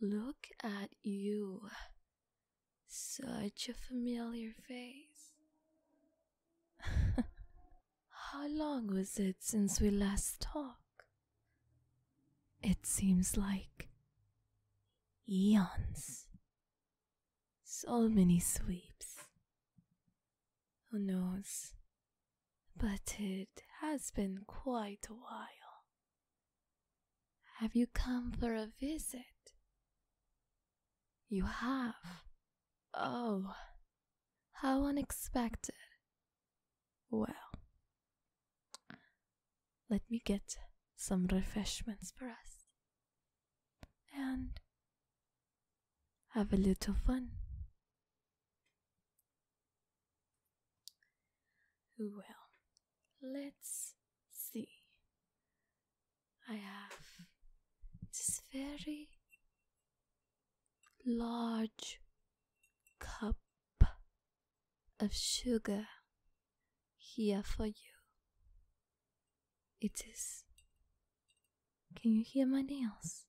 Look at you. Such a familiar face. How long was it since we last talked? It seems like eons. So many sweeps. Who knows? But it has been quite a while. Have you come for a visit? You have. Oh, how unexpected. Well, let me get some refreshments for us and have a little fun. Well, let's see. I have this very large cup of sugar here for you. It is. Can you hear my nails?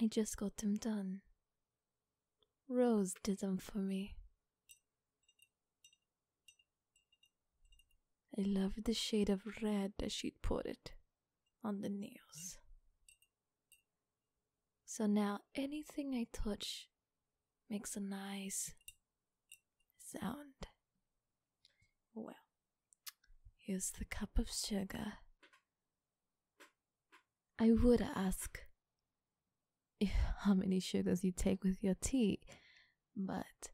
I just got them done. Rose did them for me. I loved the shade of red that she'd put it on the nails. So now anything I touch makes a nice sound. Well, here's the cup of sugar. I would ask how many sugars you take with your tea, but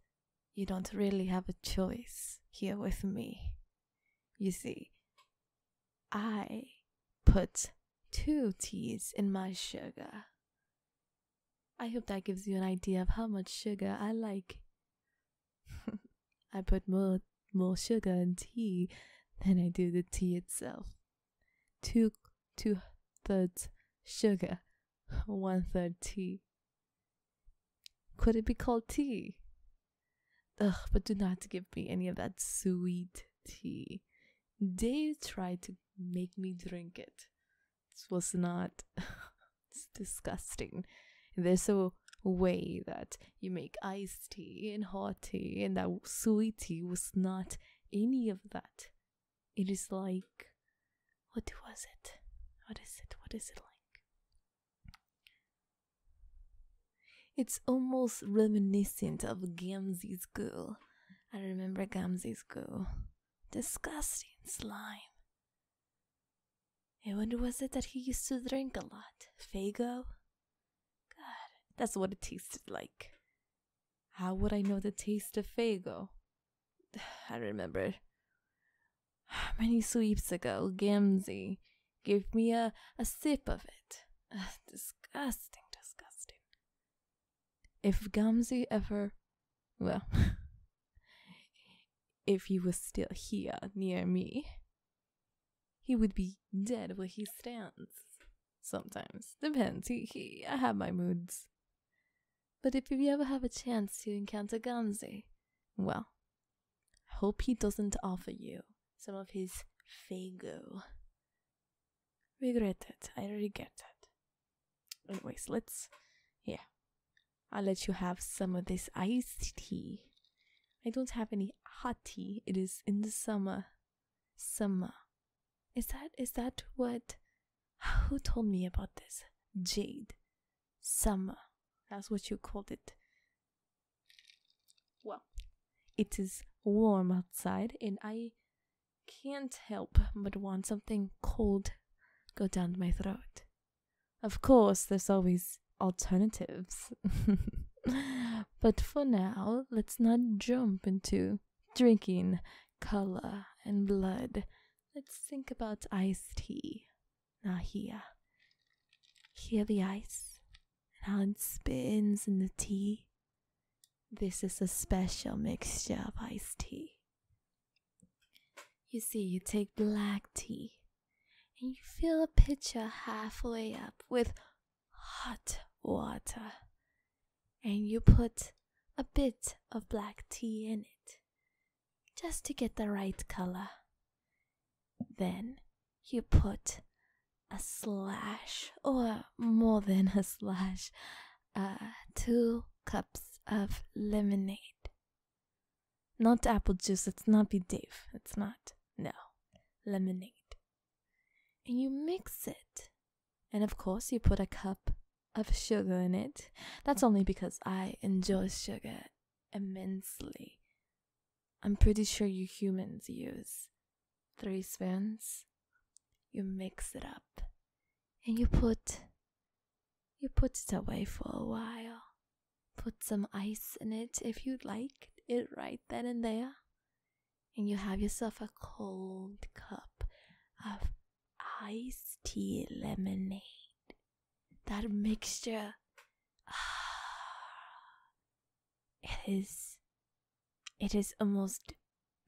you don't really have a choice here with me. You see, I put two teas in my sugar I hope that gives you an idea of how much sugar I like. I put more more sugar in tea than I do the tea itself. Two two thirds sugar, one third tea. Could it be called tea? Ugh, but do not give me any of that sweet tea. They tried to make me drink it. This was not. it's disgusting. There's a way that you make iced tea and hot tea, and that sweet tea was not any of that. It is like. What was it? What is it? What is it like? It's almost reminiscent of Gamzee's girl. I remember Gamzee's girl. Disgusting slime. And when was it that he used to drink a lot? Fago? God, that's what it tasted like. How would I know the taste of Fago? I remember. How Many sweeps ago, Gamzee Give me a, a sip of it. disgusting, disgusting. If Gamzee ever. Well, if he was still here near me, he would be dead where he stands. Sometimes. Depends. He, he, I have my moods. But if you ever have a chance to encounter Gamzee, well, Hope he doesn't offer you some of his Fago. Regret it. I regret it. Anyways, let's. Yeah. I'll let you have some of this iced tea. I don't have any hot tea. It is in the summer. Summer. Is that is that what who told me about this? Jade. Summer. That's what you called it. Well, it is warm outside, and I can't help but want something cold go down my throat. Of course, there's always alternatives. but for now, let's not jump into drinking cola and blood. Let's think about iced tea. Now here. Here the ice, and it spins in the tea. This is a special mixture of iced tea. You see, you take black tea, and you fill a pitcher halfway up with hot water, and you put a bit of black tea in it, just to get the right color. Then you put a slash or more than a slash, uh, two cups of lemonade. Not apple juice, it's not be Dave, it's not, no, lemonade. And you mix it. And of course, you put a cup of sugar in it. That's only because I enjoy sugar immensely. I'm pretty sure you humans use three spoons. You mix it up and you put you put it away for a while. Put some ice in it if you'd like it right then and there. And you have yourself a cold cup of iced tea lemonade. That mixture, ah, it is, it is almost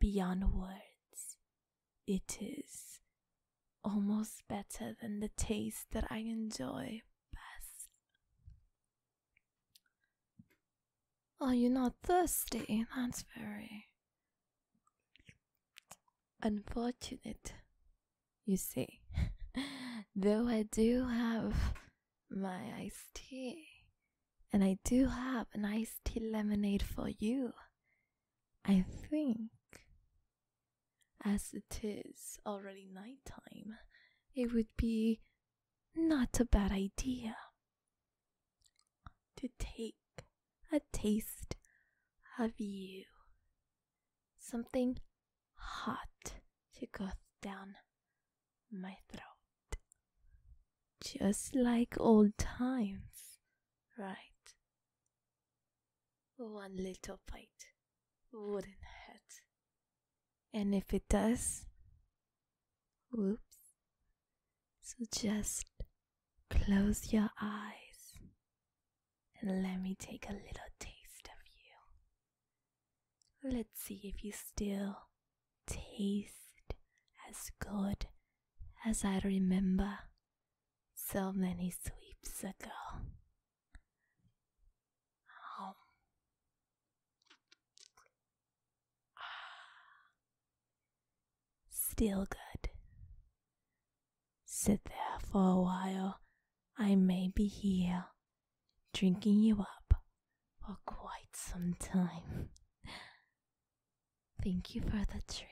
beyond words. It is almost better than the taste that I enjoy best. Are oh, you not thirsty? That's very unfortunate, you see. Though I do have my iced tea, and I do have an iced tea lemonade for you, I think. As it is already night time, it would be not a bad idea to take a taste of you. Something hot to go down my throat. Just like old times, right? One little bite wouldn't hurt. And if it does, Whoops. So just close your eyes and let me take a little taste of you. Let's see if you still taste as good as I remember so many sweeps ago. Oh. Still good. Sit there for a while. I may be here, drinking you up for quite some time. Thank you for the treat.